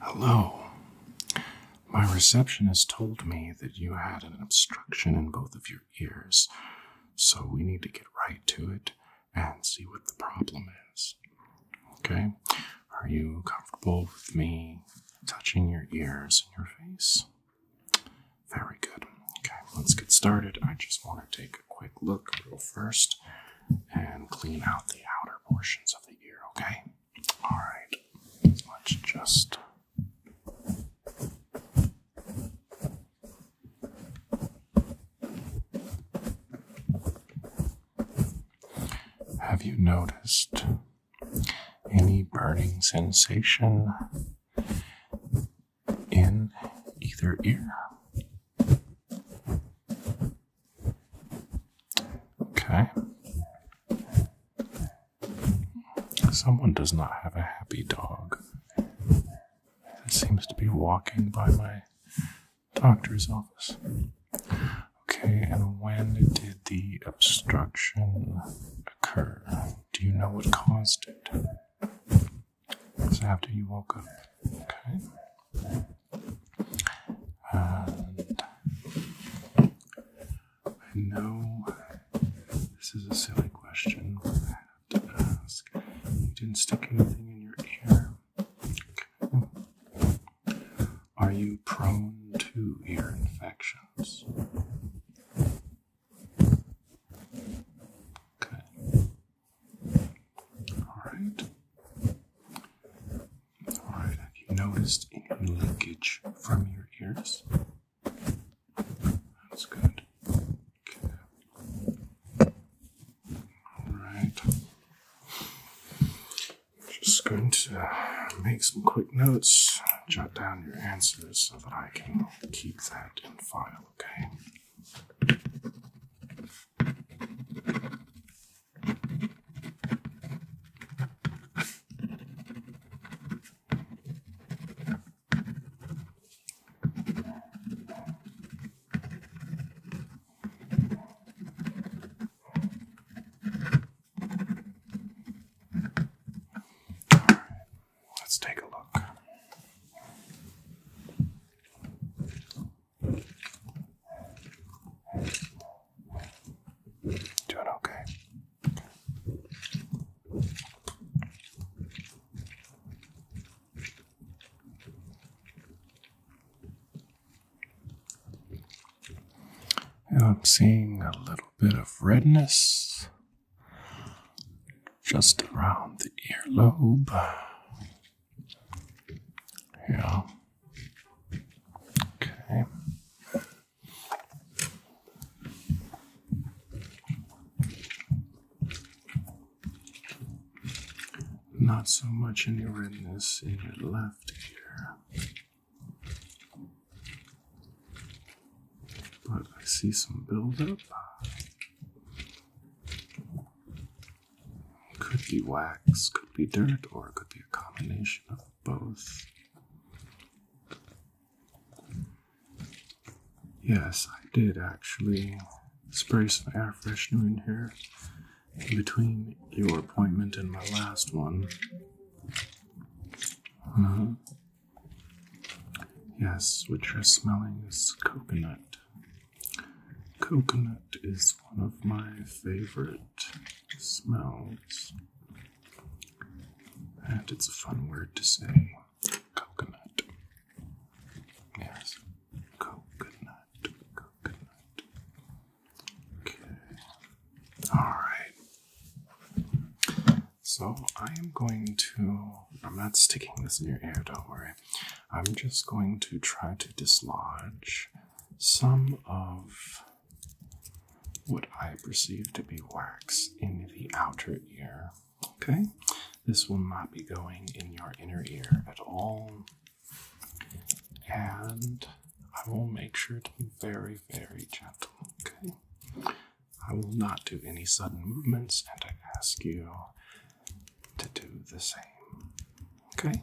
Hello. My receptionist told me that you had an obstruction in both of your ears, so we need to get right to it and see what the problem is. Okay? Are you comfortable with me touching your ears and your face? Very good. Okay, let's get started. I just want to take a quick look real first and clean out the outer portions of the ear, okay? All right, let's just. Have you noticed any burning sensation in either ear? Okay. Someone does not have a happy dog. That seems to be walking by my doctor's office. Okay, and when did the obstruction occur? Do you know what caused it? It's after you woke up. Uh, I know this is a silly question, but I have to ask. You didn't stick anything in your ear. Hmm. Are you prone to ear infections? Okay. All right. All right, have you noticed any leakage from your ears? That's good. Okay. All right. Just going to make some quick notes, jot down your answers so that I can keep that in file, okay? Right, let's take a look. Doing okay. I'm seeing a little bit of redness just around the earlobe. Yeah. Okay. Not so much any redness in your left ear. But I see some buildup. Could be wax, could be dirt, or it could be a combination of both. Yes, I did actually spray some air freshener in here between your appointment and my last one. Uh, yes, what you're smelling is coconut. Coconut is one of my favorite smells. And it's a fun word to say coconut. Yes, coconut, coconut. Okay, alright. So I am going to, I'm not sticking this in your ear, don't worry. I'm just going to try to dislodge some of what I perceive to be wax in the outer ear. Okay, this will not be going in your inner ear at all, and I will make sure to be very, very gentle. Okay, I will not do any sudden movements, and I ask you to do the same. Okay.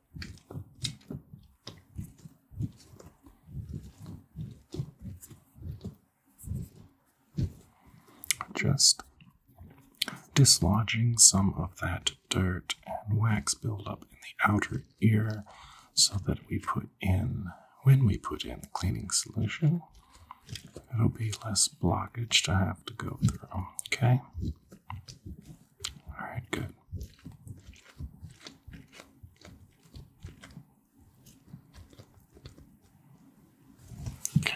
Just dislodging some of that dirt and wax buildup in the outer ear so that we put in, when we put in the cleaning solution, it'll be less blockage to have to go through. Okay? All right, good. Okay.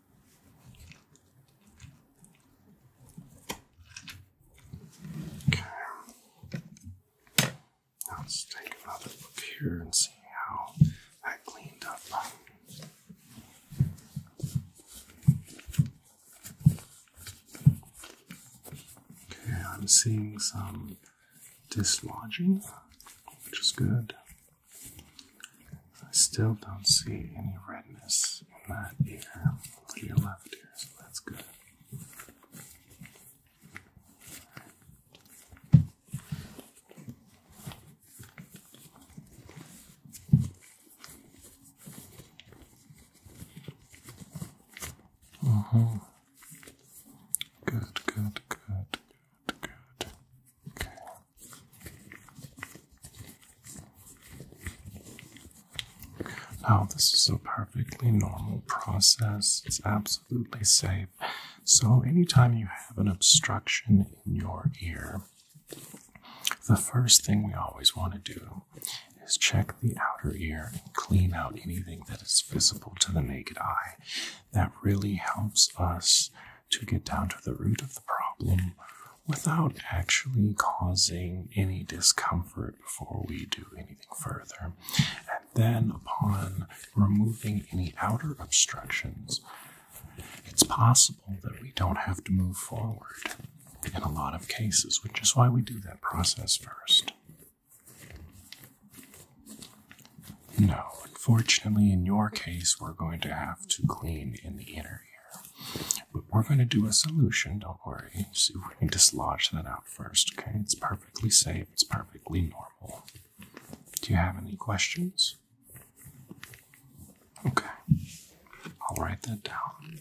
let's take another look here and see how I cleaned up. Okay, I'm seeing some dislodging, which is good. I still don't see any redness in that ear or your left ear, so that's good. Uh-huh. Good, good, good, good, good. Okay. Oh, now, this is a perfectly normal process. It's absolutely safe. So, anytime you have an obstruction in your ear, the first thing we always want to do is check the outer ear and clean out anything that is visible to the naked eye. That really helps us to get down to the root of the problem without actually causing any discomfort before we do anything further. And then, upon removing any outer obstructions, it's possible that we don't have to move forward in a lot of cases, which is why we do that process first. No, unfortunately, in your case, we're going to have to clean in the inner but we're going to do a solution, don't worry. See if we can dislodge that out first, okay? It's perfectly safe, it's perfectly normal. Do you have any questions? Okay, I'll write that down.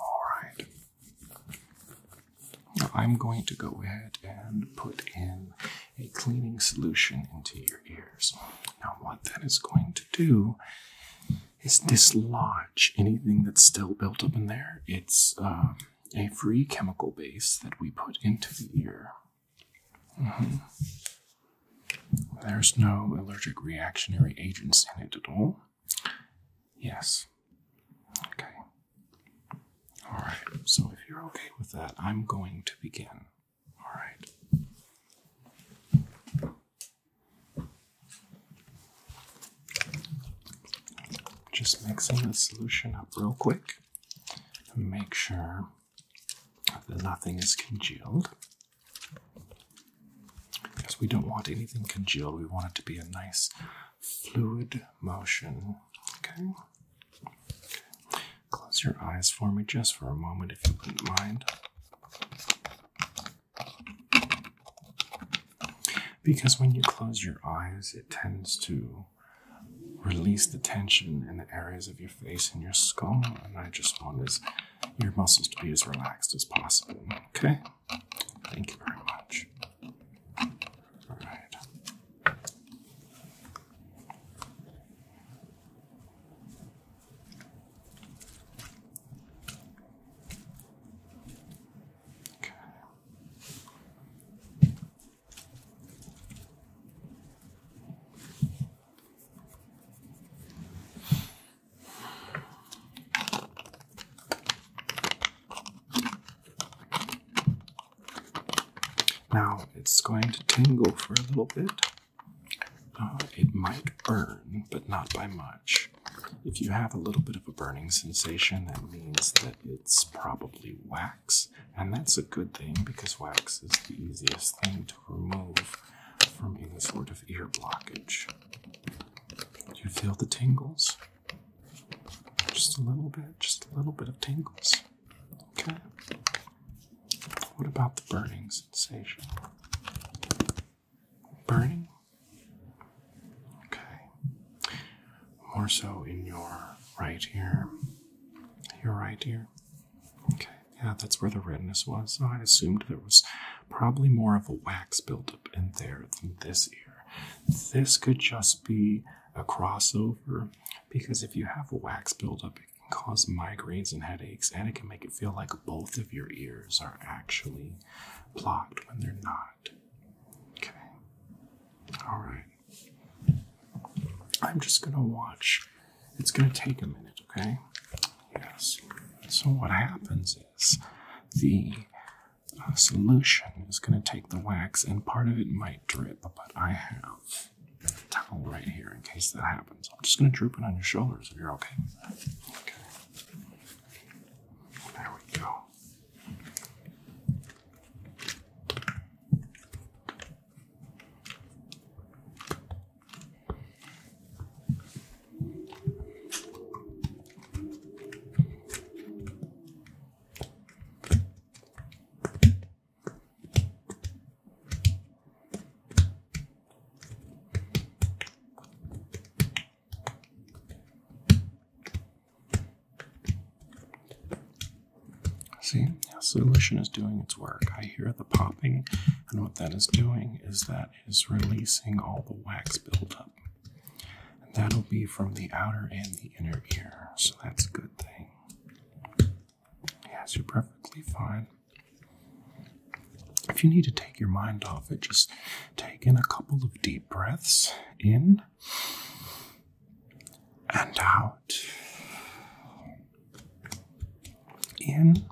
Alright. I'm going to go ahead and put in a cleaning solution into your ears. Now, what that is going to do is dislodge anything that's still built up in there. It's um, a free chemical base that we put into the ear. Mm-hmm. There's no allergic reactionary agents in it at all. Yes. Okay. All right. So if you're okay with that, I'm going to begin. All right. Just mixing the solution up real quick. Make sure that nothing is congealed. Because we don't want anything congealed, we want it to be a nice fluid motion. Okay. Close your eyes for me just for a moment if you wouldn't mind. Because when you close your eyes, it tends to release the tension in the areas of your face and your skull, and I just want this, your muscles to be as relaxed as possible. Okay? Thank you very much. All right. Okay. Now it's going to tingle for a little bit. Uh, it might burn, but not by much. If you have a little bit of a burning sensation, that means that it's probably wax, and that's a good thing because wax is the easiest thing to remove from any sort of ear blockage. Do you feel the tingles? Just a little bit, just a little bit of tingles. Okay. What about the burning sensation? Burning? Okay. More so in your right ear. Your right ear. Okay. Yeah, that's where the redness was. So I assumed there was probably more of a wax buildup in there than this ear. This could just be a crossover because if you have a wax buildup, it can cause migraines and headaches, and it can make it feel like both of your ears are actually blocked when they're not. Okay. All right. I'm just going to watch. It's going to take a minute, okay? Yes. So, what happens is the solution is going to take the wax, and part of it might drip, but I have a towel right here in case that happens. I'm just going to drip it on your shoulders if you're okay. Okay. There we go. See, the solution is doing its work. I hear the popping, and what that is doing is that is releasing all the wax buildup. And that'll be from the outer and the inner ear, so that's a good thing. Yes, you're perfectly fine. If you need to take your mind off it, just take in a couple of deep breaths in and out. In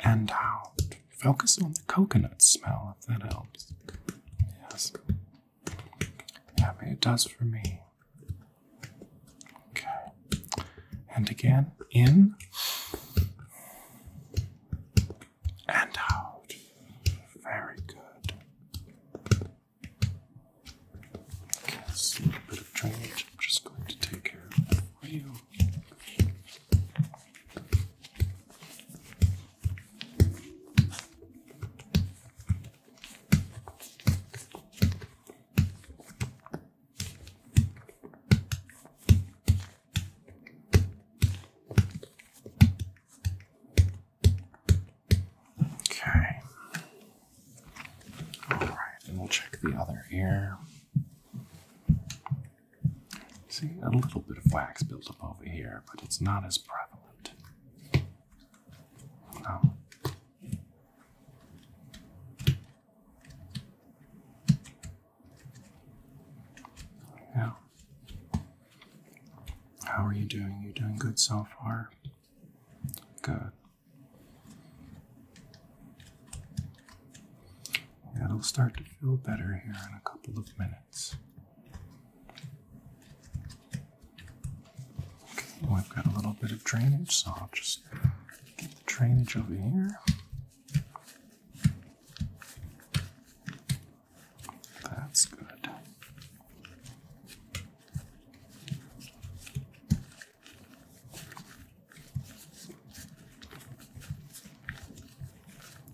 and out. Focus on the coconut smell if that helps. Yes. Yeah, it does for me. Okay. And again, in and out. Very good. Okay, a little bit of drainage. I'm just going to take care of you. Okay. All right, and we'll check the other ear. See, a little bit of wax built up over here, but it's not as prevalent. No. Oh. How are you doing? You doing good so far? Good it will start to feel better here in a couple of minutes. Okay, I've got a little bit of drainage, so I'll just get the drainage over here. That's good.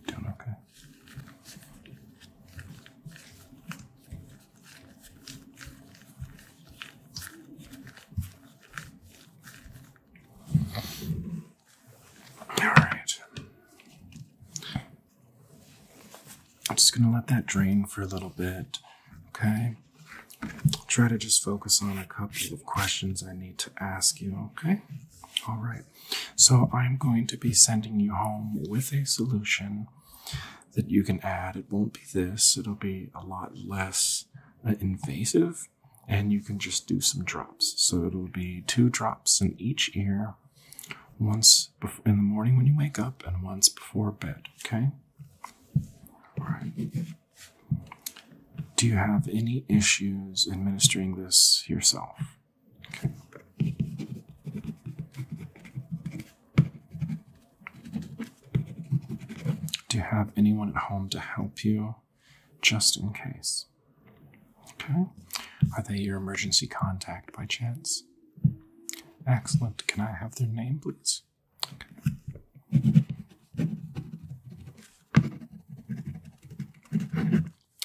Doing okay. All right. I'm just going to let that drain for a little bit, okay? Try to just focus on a couple of questions I need to ask you, okay? All right. So I'm going to be sending you home with a solution that you can add. It won't be this, it'll be a lot less uh, invasive, and you can just do some drops. So it'll be two drops in each ear, once in the morning when you wake up, and once before bed, okay? All right. Do you have any issues administering this yourself? Do you have anyone at home to help you just in case? Okay. Are they your emergency contact by chance? Excellent. Can I have their name, please?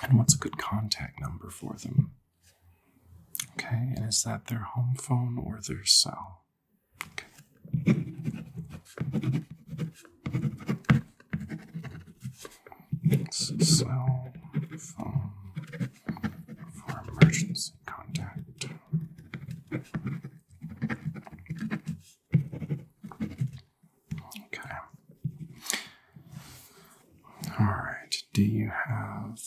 and what's a good contact number for them. Okay, and is that their home phone or their cell? Cell phone for emergency contact. Okay. All right. Do you have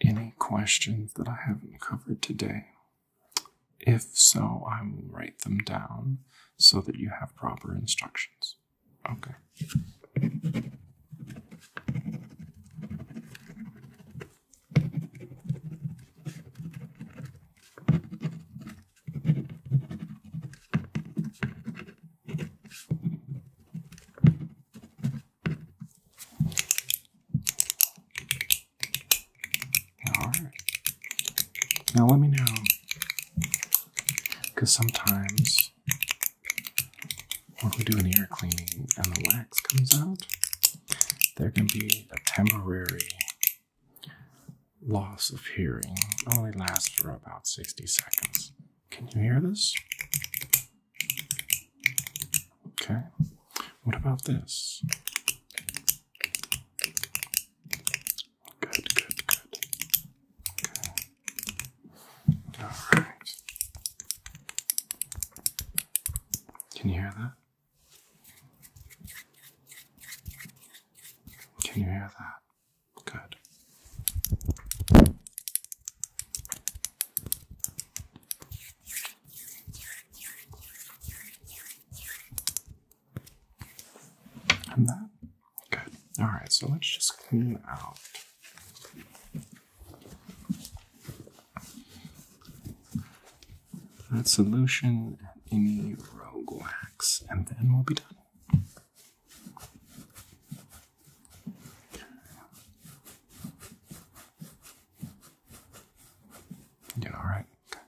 any questions that I haven't covered today? If so, I will write them down so that you have proper instructions. Okay. All right. Now let me know, because sometimes when we do an ear cleaning and the wax comes out, there can be a temporary loss of hearing only lasts for about 60 seconds. Can you hear this? Okay. What about this? Good, good, good. All right. Can you hear that? Can you hear that? Good. And that? Good. Alright, so let's just clean out. That solution and any rogue wax, and then we'll be done. Yeah. all right. Okay.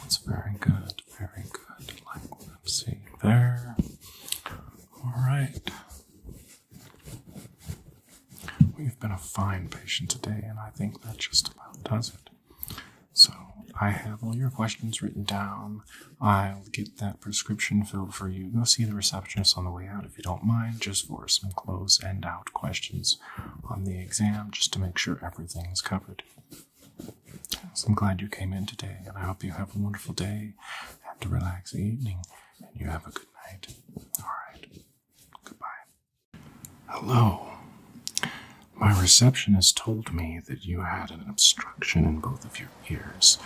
That's very good very good. Like what I'm seeing there. Alright. Well, you've been a fine patient today, and I think that just about does it. So, I have all your questions written down. I'll get that prescription filled for you. Go see the receptionist on the way out if you don't mind, just for some close end out questions on the exam, just to make sure everything is covered. I'm glad you came in today, and I hope you have a wonderful day and a relaxing evening, and you have a good night. All right. Goodbye. Hello. My receptionist told me that you had an obstruction in both of your ears,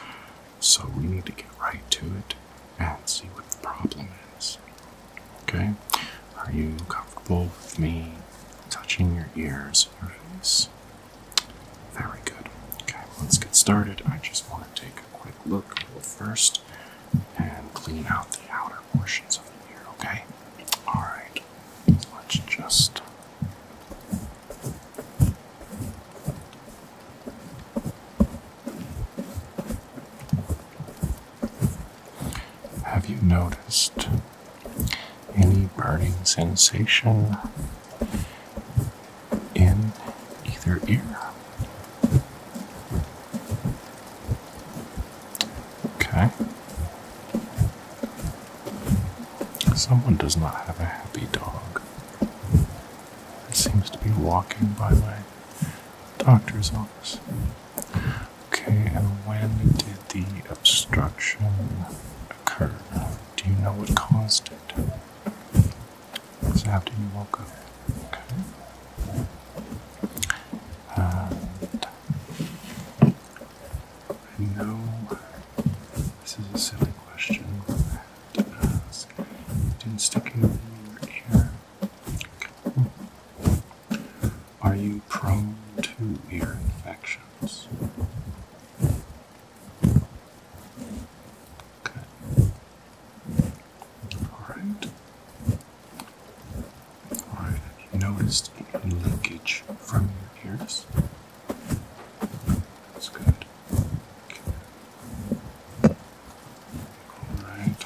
so we need to get right to it and see what the problem is. Okay? Are you comfortable with me touching your ears and your face? Very good. Okay, let's get started. I just want to take a quick look first and clean out the outer portions of the ear, okay? Alright, let's just. Have you noticed any burning sensation in either ear. Okay. Someone does not have a happy dog. It seems to be walking by my doctor's office. Okay, and when did the obstruction occur? Do you know what caused it? It's after you woke up. Okay. Uh, I know this is a silly question to ask. You didn't stick in your ear. Are you prone to ear infections? Okay. All right. All right. Have you noticed any leakage from your ears? That's good. All right.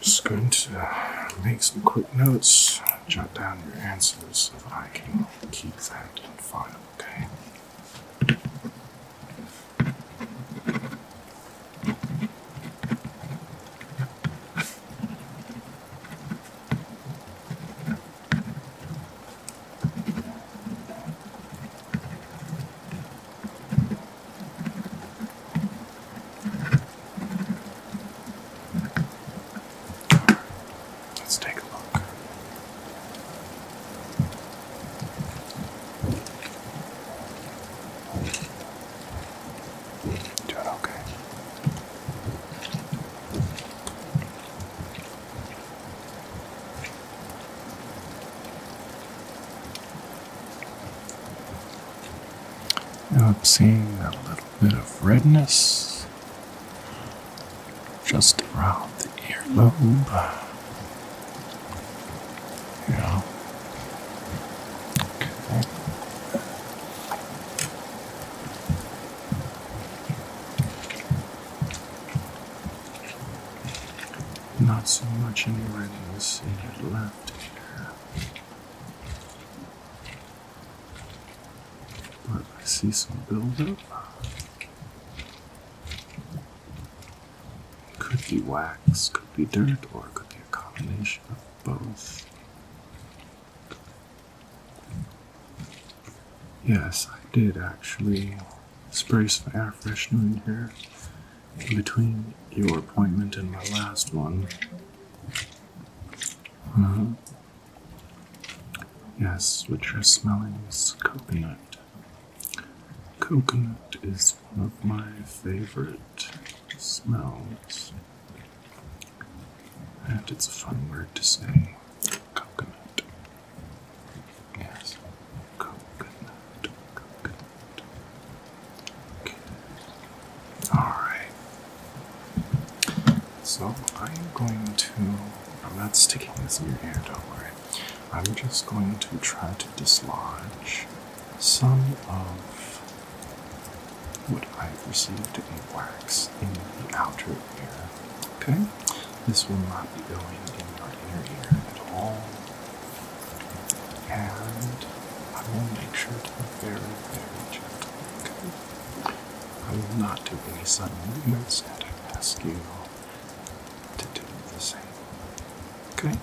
Just going to uh, make some quick notes jot down your answers so that I can keep that in file, okay? Let's take a look. okay. Now I'm seeing a little bit of redness just around the earlobe. Yeah. Not so much in the you see it left here. But I see some buildup. Mm-hmm. Could be wax, could be dirt, or it could be a combination of both. Yes, I did actually spray some air freshener in here in between your appointment and my last one. Uh, Yes, which you're smelling is coconut. Coconut is one of my favorite smells. And it's a fun word to say. Coconut. Yes. Coconut. Coconut. Alright. So I'm going to. I'm not sticking this in your ear, don't worry. I'm just going to try to dislodge some of what I've received in wax in the outer ear. Okay? This will not be going in your inner ear at all. And I will make sure to be very, very gentle. Okay? I will not do any sudden movements, and I ask you to do the same. Okay?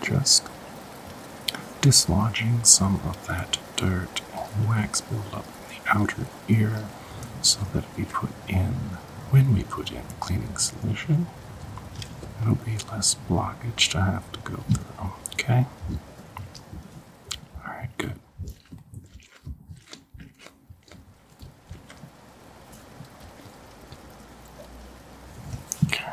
Just dislodging some of that dirt and wax buildup in the outer ear so that we put in when we put in cleaning solution, it'll be less blockage to have to go through. Okay? Alright, good. Okay.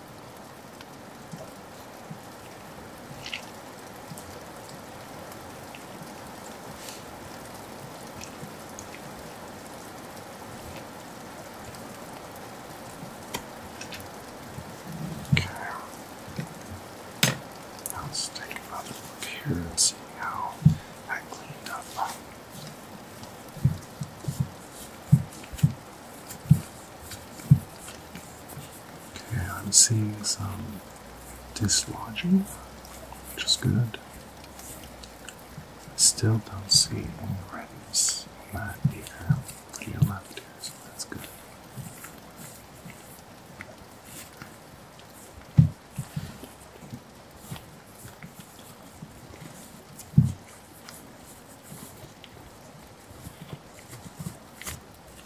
Okay. let's take another look here and see how I cleaned up. Okay, I'm seeing some dislodging, which is good. I still don't see any redness on that either. Pretty left here, so that's good.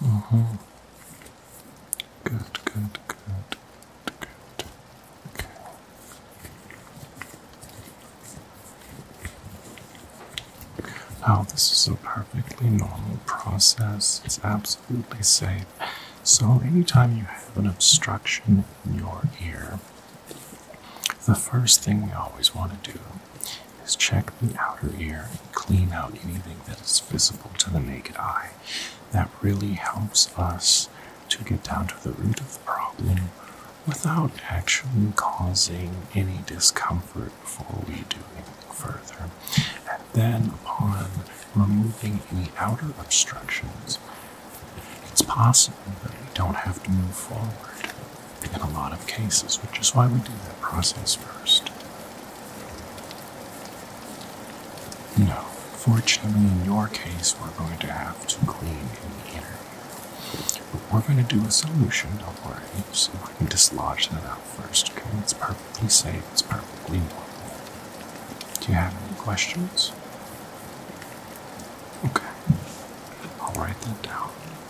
Uh mm-hmm. -huh. Good, good, good, good. Okay. Now, this is a perfectly normal process. It's absolutely safe. So, anytime you have an obstruction in your ear, the first thing we always want to do is check the outer ear and clean out anything that is visible to the naked eye. That really helps us to get down to the root of the problem without actually causing any discomfort before we do anything further. And then, upon removing any outer obstructions, it's possible that we don't have to move forward in a lot of cases, which is why we do that process first. No, fortunately, in your case, we're going to have to clean in the inner ear. But we're going to do a solution, don't worry, so I can dislodge that out first, okay? It's perfectly safe, it's perfectly normal. Do you have any questions? Okay, I'll write that down.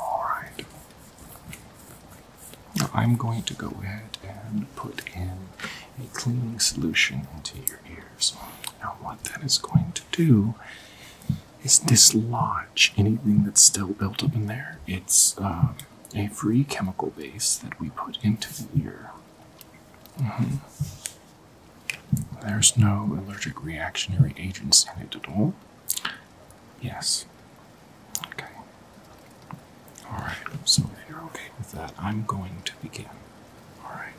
All right. Now I'm going to go ahead and put in a cleaning solution into your ears. Now, what that is going to do is dislodge anything that's still built up in there. It's uh, a free chemical base that we put into the ear Mm-hmm. There's no allergic reactionary agents in it at all. Yes. Okay. Alright, so if you're okay with that, I'm going to begin. Alright.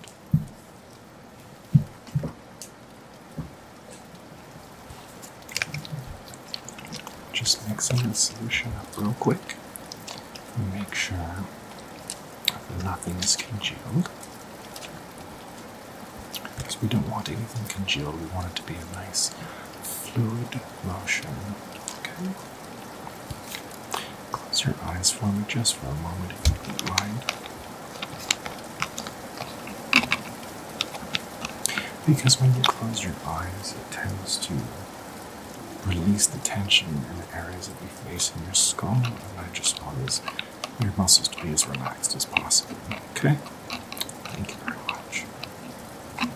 Just mixing the solution up real quick. Make sure nothing is congealed. Because we don't want anything congealed, we want it to be a nice fluid motion. Okay? Close your eyes for me just for a moment if you mind. Because when you close your eyes, it tends to release the tension in the areas that you face in your skull, and I just want this, your muscles to be as relaxed as possible. Okay? Thank you very much. Okay.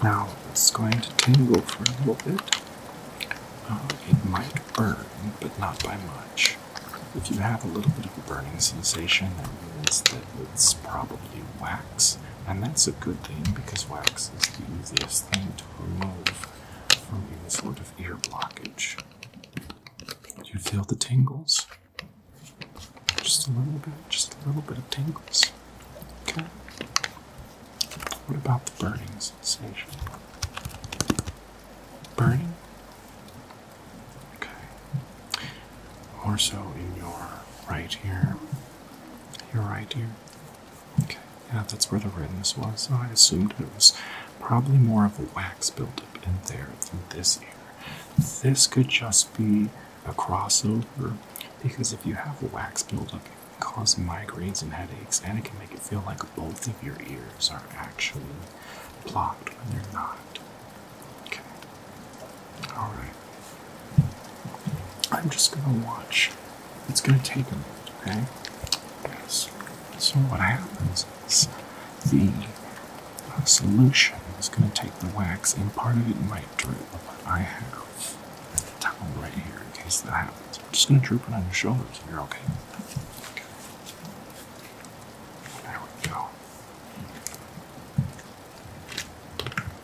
Now it's going to tingle for a little bit. Uh, it might burn, but not by much. If you have a little bit of a burning sensation, that means that it's probably wax, and that's a good thing because wax is the easiest thing to remove from any sort of ear blockage. You feel the tingles? Just a little bit, just a little bit of tingles. Okay. What about the burning sensation? Burning? Okay. More so in your right ear. You're right here. Okay, yeah, that's where the redness was. So I assumed it was probably more of a wax buildup in there than this ear. This could just be a crossover because if you have wax buildup, it can cause migraines and headaches, and it can make it feel like both of your ears are actually blocked when they're not. Okay. All right. I'm just gonna watch. It's gonna take a minute, okay? Yes. So what happens is the uh, solution is gonna take the wax, and part of it might drip. I have a towel right here in case that happens. I'm just gonna drip it on your shoulders. You're okay. okay. There we go.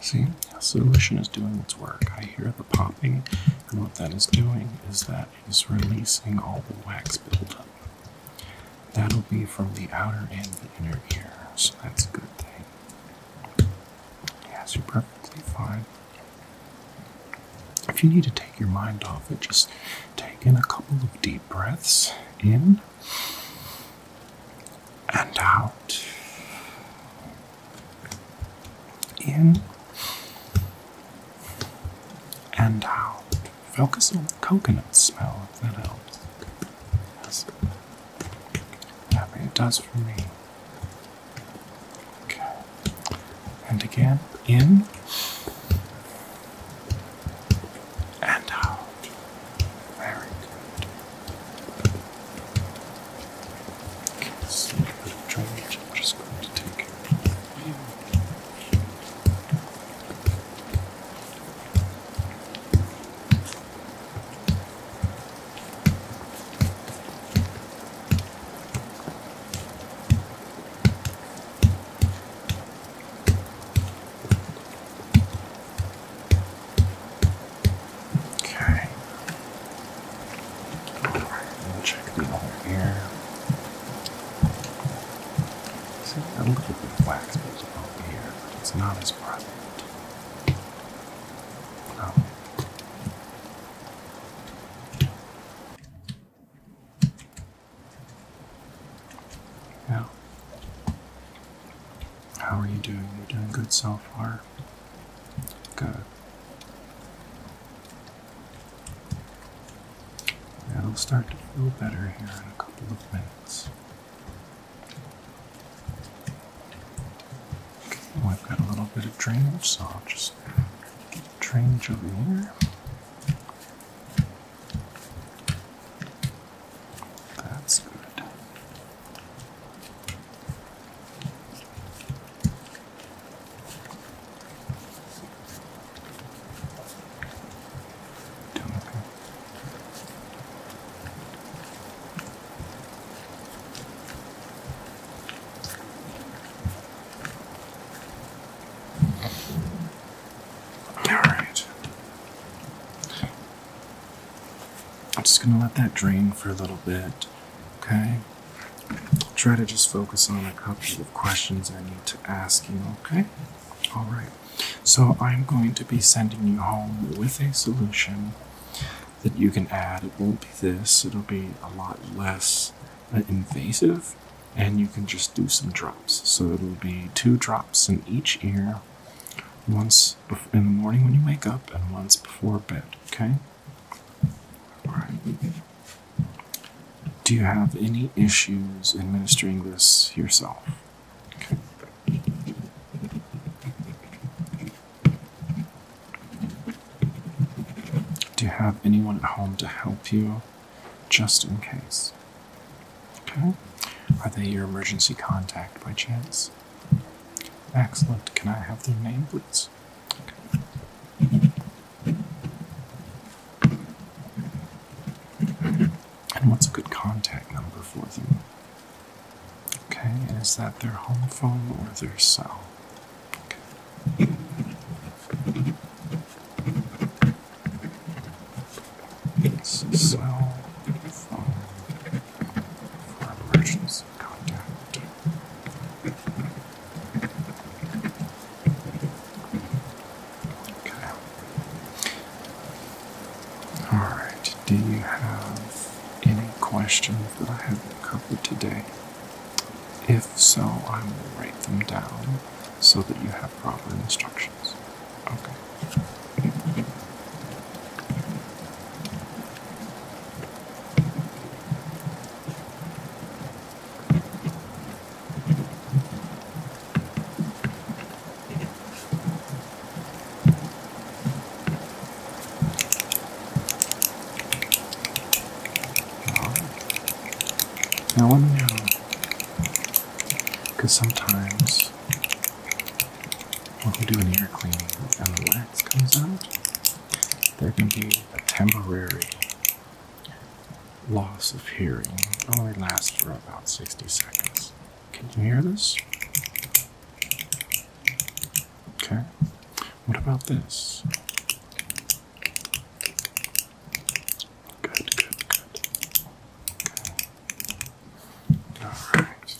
See, the solution is doing its work. I hear the popping, and what that is doing is that it is releasing all the wax buildup. That'll be from the outer and the inner ear, so that's a good thing. Yes, you're perfectly fine. If you need to take your mind off it, just take in a couple of deep breaths in and out. In and out. Focus on the coconut smell if that helps. Yes. I it does for me. Okay. And again, in and out. Very good. Okay, a little bit I'm just going to take it Okay. Alright, we'll check the other ear. See, a little bit of wax goes over here, but it's not as prominent. No. Oh. Yeah. How are you doing? You're doing good so far. Good. It'll start to feel better here in a couple of minutes. Okay, I've got a little bit of drainage, so I'll just get the drainage over here. That's good. Timothy. All right. I'm just going to let that drain for a little bit, okay? try to just focus on a couple of questions I need to ask you, okay? All right. So I'm going to be sending you home with a solution that you can add. It won't be this, it'll be a lot less uh, invasive, and you can just do some drops. So it'll be two drops in each ear, once in the morning when you wake up and once before bed, okay? All right. Do you have any issues administering this yourself? Do you have anyone at home to help you just in case? Okay. Are they your emergency contact by chance? Excellent. Can I have their name, please? And what's a good contact number for them? Okay, is that their home phone or their cell? Okay. Cell phone. Okay. Alright, do you have any questions that I haven't covered today? If so, I will write them down so that you have proper instructions. Okay. Now let me know, because sometimes when we do an air cleaning and the wax comes out, there can be a temporary loss of hearing. It only lasts for about 60 seconds. Can you hear this? Okay. What about this? Good, good, good. All right.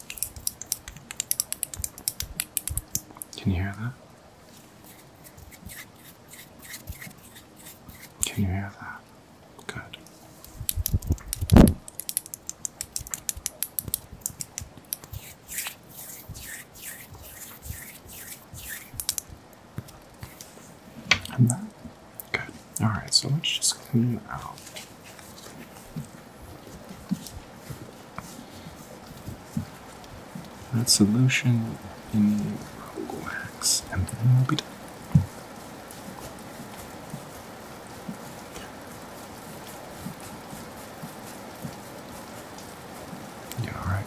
Can you hear that? Can you hear that? Good. And that? Good. Alright, so let's just clean out that solution in the rogue wax, and then we'll be done. You alright?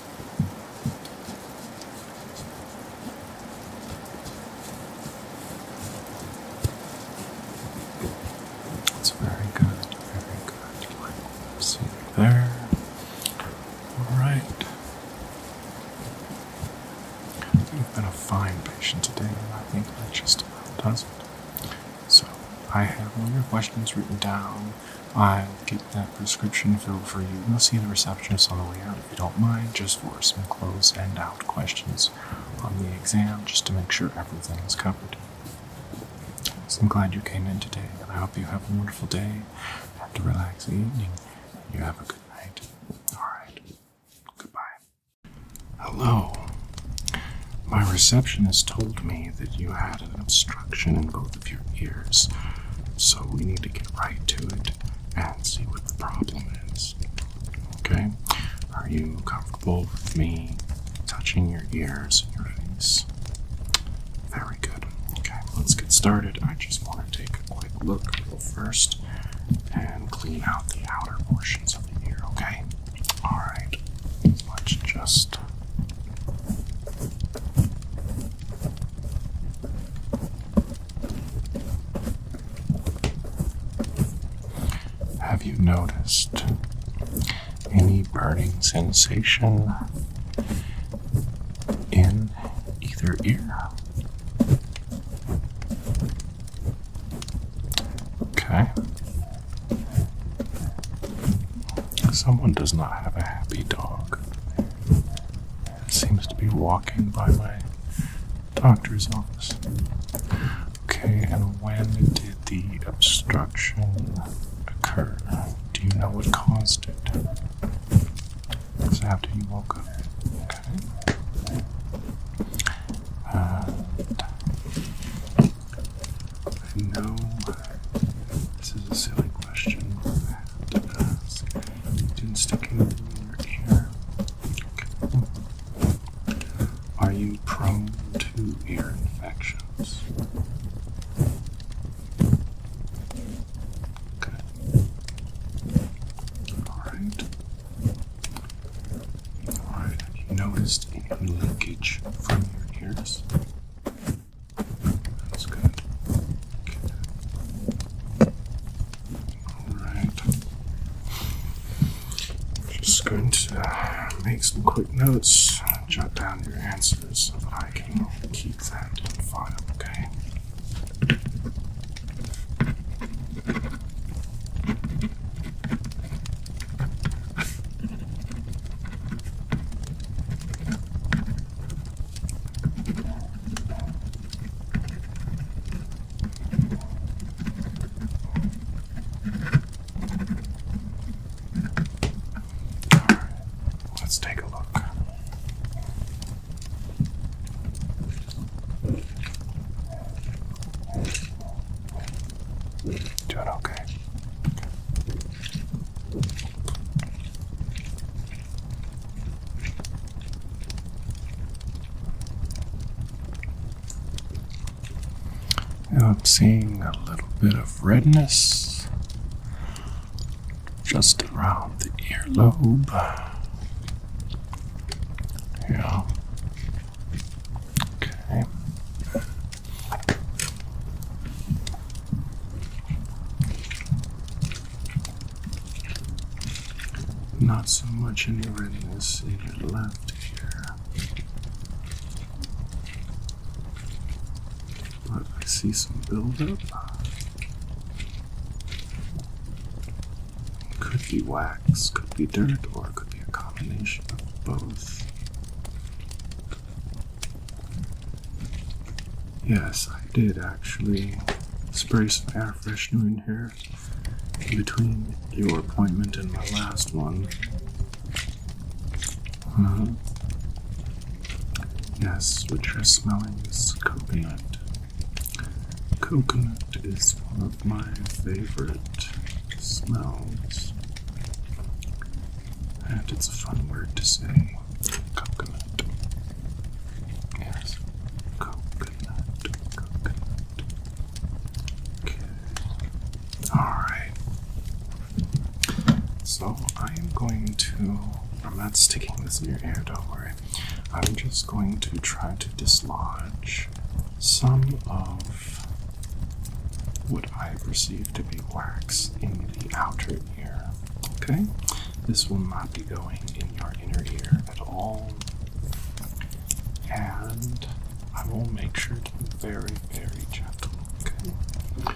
That's very good, very good. Like, see there. All right. You've been a fine patient today, and I think that just about does it. So, I have all your questions written down. I'll get that prescription filled for you. You'll see the receptionist on the way out if you don't mind, just for some close and out questions on the exam, just to make sure everything is covered. I'm glad you came in today, and I hope you have a wonderful day and a relaxing evening. You have a good night. Alright. Goodbye. Hello. My receptionist told me that you had an obstruction in both of your ears, so we need to get right to it and see what the problem is. Okay? Are you comfortable with me touching your ears and your face? Very good. Okay, let's get started. I just want to take a quick look first and clean out the outer portions of the ear, okay? Alright, let's just. Have you noticed any burning sensation in either ear? Okay. Someone does not have a happy dog. It seems to be walking by my doctor's office. Okay, and when did the obstruction occur? Do you know what caused it? It after you woke up. Okay. Uh, I know this is a silly question to ask. Didn't stick anything in your ear. Are you prone to ear infections? Okay. Alright. Alright, have you noticed any leakage from your ears? That's good. Okay. Alright. Just going to uh, make some quick notes, jot down your answers so that I can keep that in file, okay? All right, let's take a look. Doing okay. okay. Now I'm seeing a little bit of redness just around the earlobe. Yeah. Okay. Not so much any readiness in your left ear. But I see some buildup. Could be wax, could be dirt, or it could be a combination of both. Yes, I did actually spray some air freshener in here between your appointment and my last one. Uh, yes, which you're smelling is coconut. Coconut is one of my favorite smells. And it's a fun word to say coconut. Yes, coconut, Okay. Alright. So I am going to. I'm not sticking this in your ear, don't worry. I'm just going to try to dislodge some of what I perceive to be wax in the outer ear. Okay? This will not be going in your inner ear at all. And I will make sure to be very, very gentle, okay?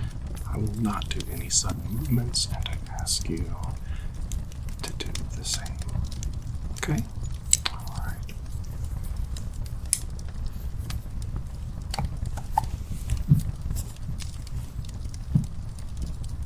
I will not do any sudden movements, and I ask you to do the same, okay?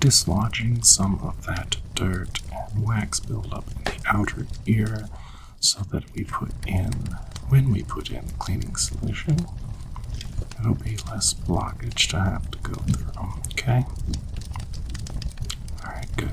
dislodging some of that dirt and wax buildup in the outer ear so that we put in, when we put in cleaning solution, it'll be less blockage to have to go through, okay? Alright, good.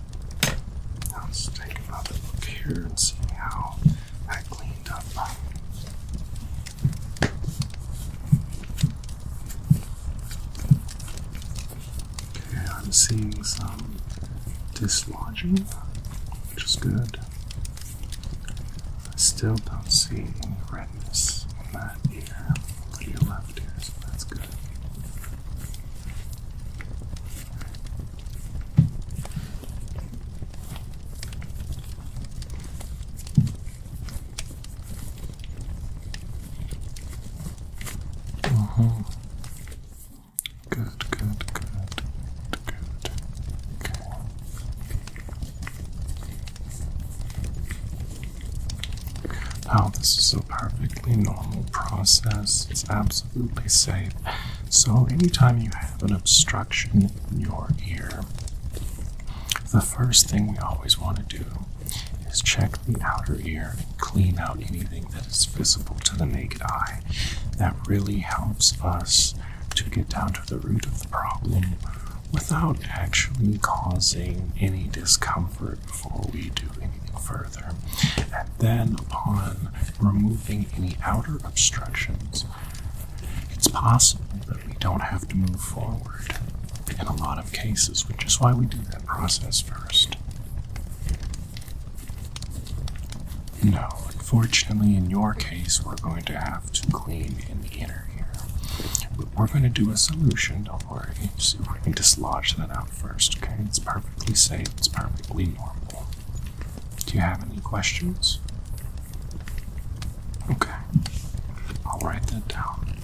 let's take another look here and see how I cleaned up. Okay, I'm seeing some dislodging, which is good. I still don't see any redness in that ear, to your left ear, that's good. Uh -huh. Good, good, good, good. Okay. Now, this is so perfectly normal process. It's absolutely absolutely safe. So, anytime you have an obstruction in your ear, the first thing we always want to do is check the outer ear and clean out anything that is visible to the naked eye. That really helps us to get down to the root of the problem without actually causing any discomfort before we do anything further and then upon removing any outer obstructions, it's possible that we don't have to move forward in a lot of cases, which is why we do that process first. No, unfortunately, in your case, we're going to have to clean in the inner ear. But we're going to do a solution, don't worry. So we're going to dislodge that out first, okay? It's perfectly safe, it's perfectly normal. Do you have any questions? Okay, I'll write that down.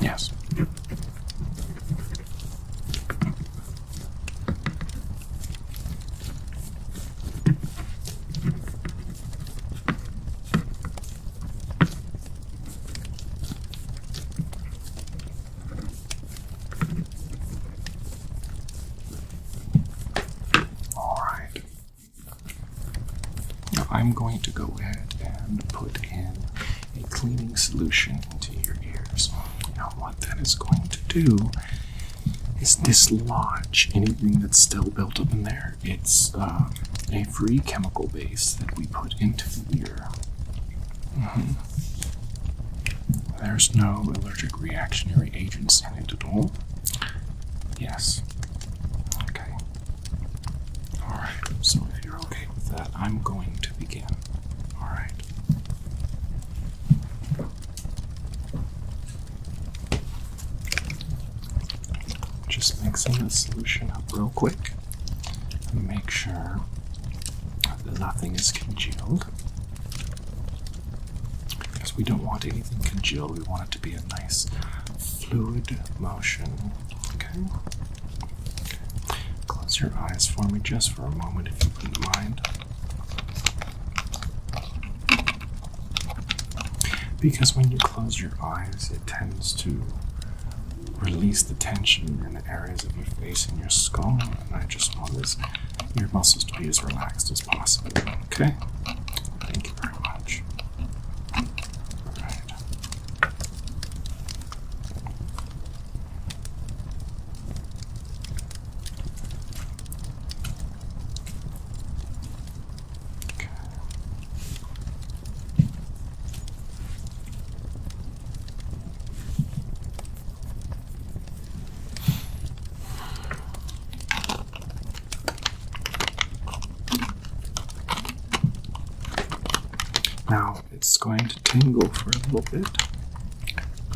Yes. All right. I'm going to go ahead and put in a cleaning solution into your ears. Now, what that is going to do is dislodge anything that's still built up in there. It's uh, a free chemical base that we put into the ear. Mm-hmm. There's no allergic reactionary agents in it at all. Yes. Okay. Alright, so if you're okay with that, I'm going to begin. Alright. Just mixing the solution up real quick make sure that nothing is congealed. Because we don't want anything congealed, we want it to be a nice fluid motion. Okay? Close your eyes for me just for a moment if you wouldn't mind. Because when you close your eyes, it tends to release the tension in the areas of your face and your skull, and I just want your muscles to be as relaxed as possible. Okay? Thank you very much. Now it's going to tingle for a little bit.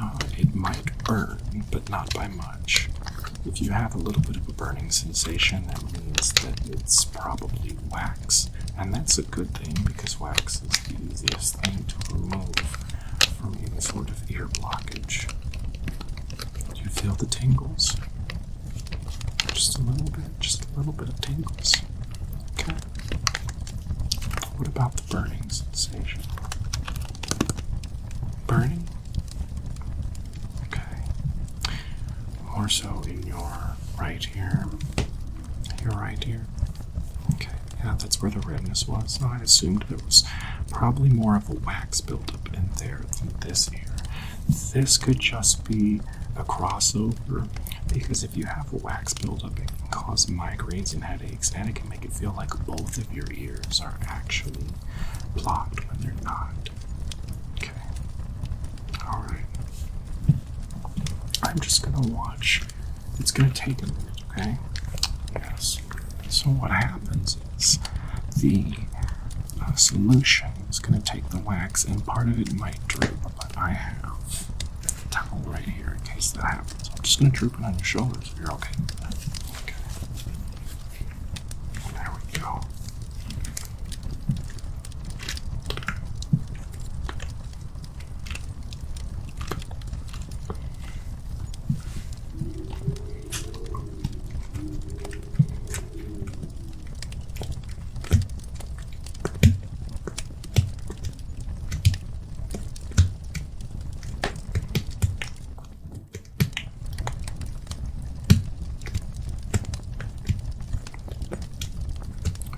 Uh, it might burn, but not by much. If you have a little bit of a burning sensation, that means that it's probably wax, and that's a good thing because wax is the easiest thing to remove from any sort of ear blockage. Do you feel the tingles? Just a little bit, just a little bit of tingles. Okay. What about the burning sensation? Burning? Okay. More so in your right ear. Your right ear. Okay, yeah, that's where the redness was. No, I assumed there was probably more of a wax buildup in there this ear. This could just be a crossover because if you have wax buildup, it can cause migraines and headaches and it can make it feel like both of your ears are actually blocked when they're not. Okay. Alright. I'm just gonna watch. It's gonna take a minute, okay? Yes. So, what happens is the uh, solution is gonna take the wax, and part of it might drip. but I have a towel right here in case that happens. I'm just gonna drip it on your shoulders. You're okay. Okay. There we go.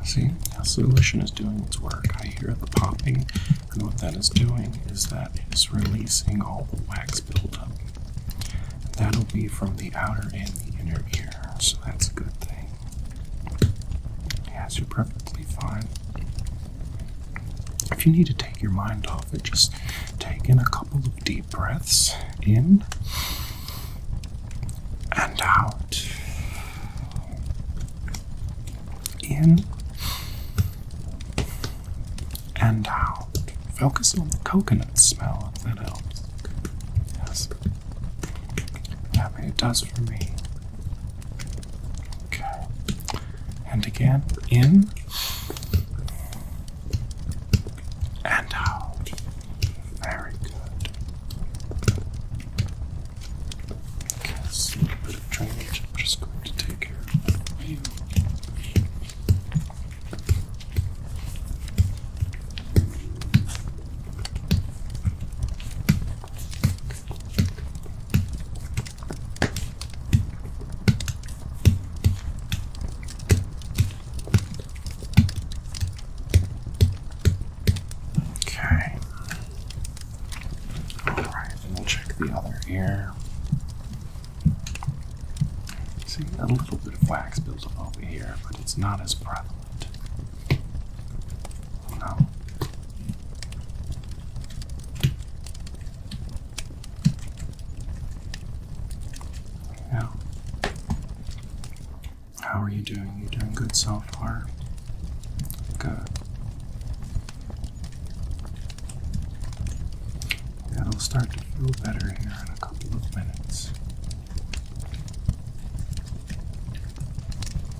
See, the solution is doing its work. I hear the popping, and what that is doing is that it is releasing all the wax buildup. And that'll be from the outer and the inner ear, so that's a good thing. Yes, you're perfectly fine. If you need to take your mind off it, just take in a couple of deep breaths in and out. In and out. Focus on the coconut smell that helps. Yes. That yeah, it does for me. And again, in and out. Very good. a little bit of drainage. I'm just going to take care of you. Okay. All right, and we'll check the other ear. See, a little bit of wax builds up over here, but it's not as prevalent. No. Yeah. How are you doing? You doing good so far? Good. That'll start to feel better here in a couple of minutes.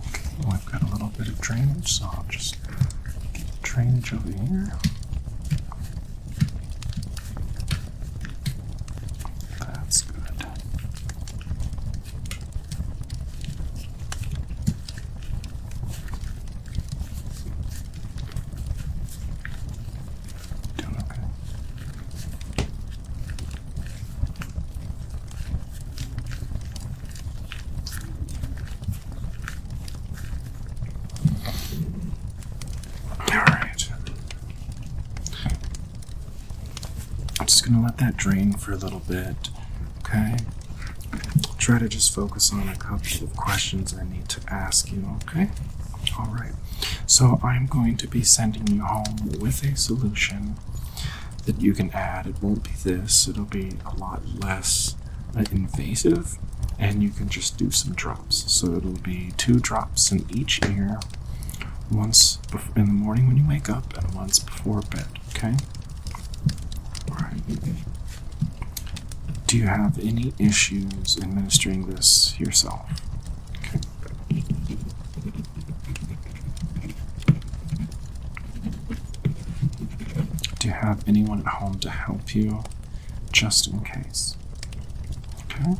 Okay, well, have got a little bit of drainage, so just drainage over here. That's good. okay. All right. I'm just going to let that drain for a little bit, okay? Try to just focus on a couple of questions I need to ask you, okay? All right. So I'm going to be sending you home with a solution that you can add. It won't be this, it'll be a lot less uh, invasive, and you can just do some drops. So it'll be two drops in each ear, once in the morning when you wake up, and once before bed. Okay. All right. Do you have any issues administering this yourself? Okay. Do you have anyone at home to help you just in case? Okay.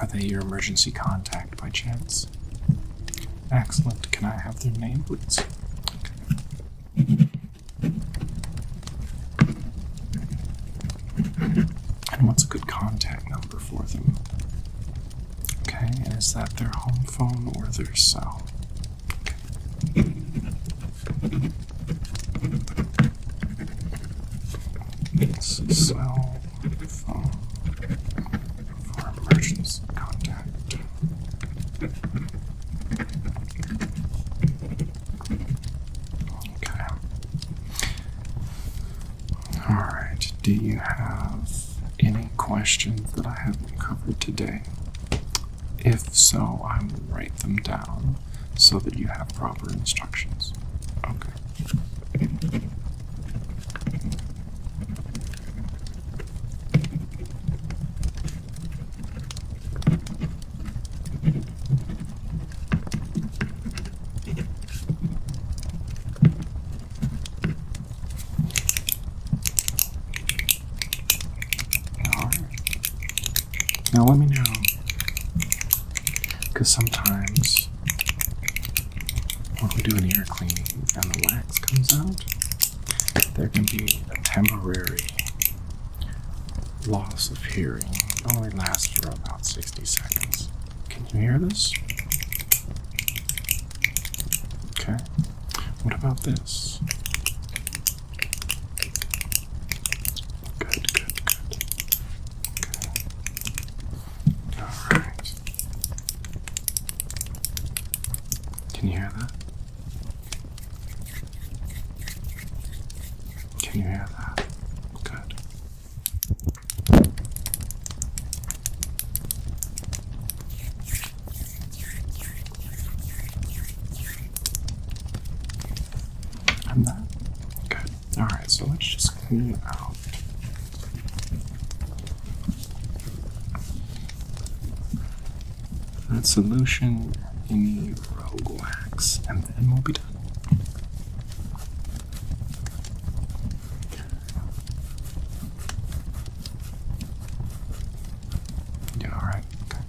Are they your emergency contact by chance? Excellent. Can I have their name, please? And what's a good contact number for them? Okay, and is that their home phone or their cell? cell phone for emergency contact. Okay. Alright, do you have any questions that I haven't covered today? If so, I will write them down so that you have proper instructions. Okay. Alright. Now let me know. Because sometimes when we do an ear cleaning and the wax comes out, there can be a temporary loss of hearing. It only lasts for about 60 seconds. Can you hear this? Okay. What about this? Good, good, good. Alright. Can you hear that? Can you hear that? Good. I'm Okay. Alright, so let's just clean out. That solution, you need rogue wax, and then we'll be done. Doing all right. Okay.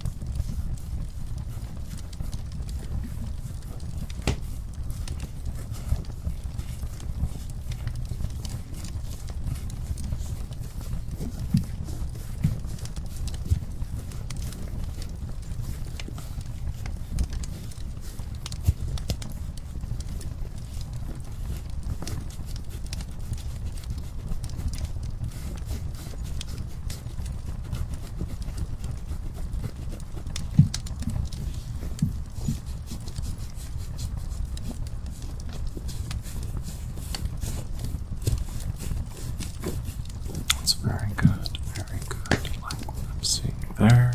That's very good, very good. Like I'm seeing there.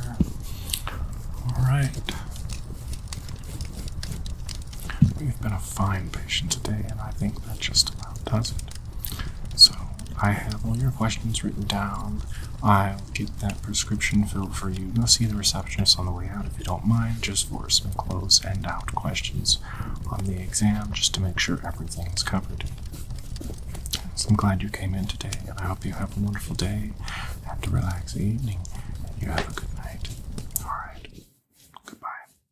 All right. We've been a fine patient today, and I think that just about does it. So, I have all your questions written down. I'll get that prescription filled for you. Go see the receptionist on the way out if you don't mind, just for some close and out questions on the exam, just to make sure everything is covered. So I'm glad you came in today, and I hope you have a wonderful day and a relaxing evening. you have a good night. All right. Goodbye.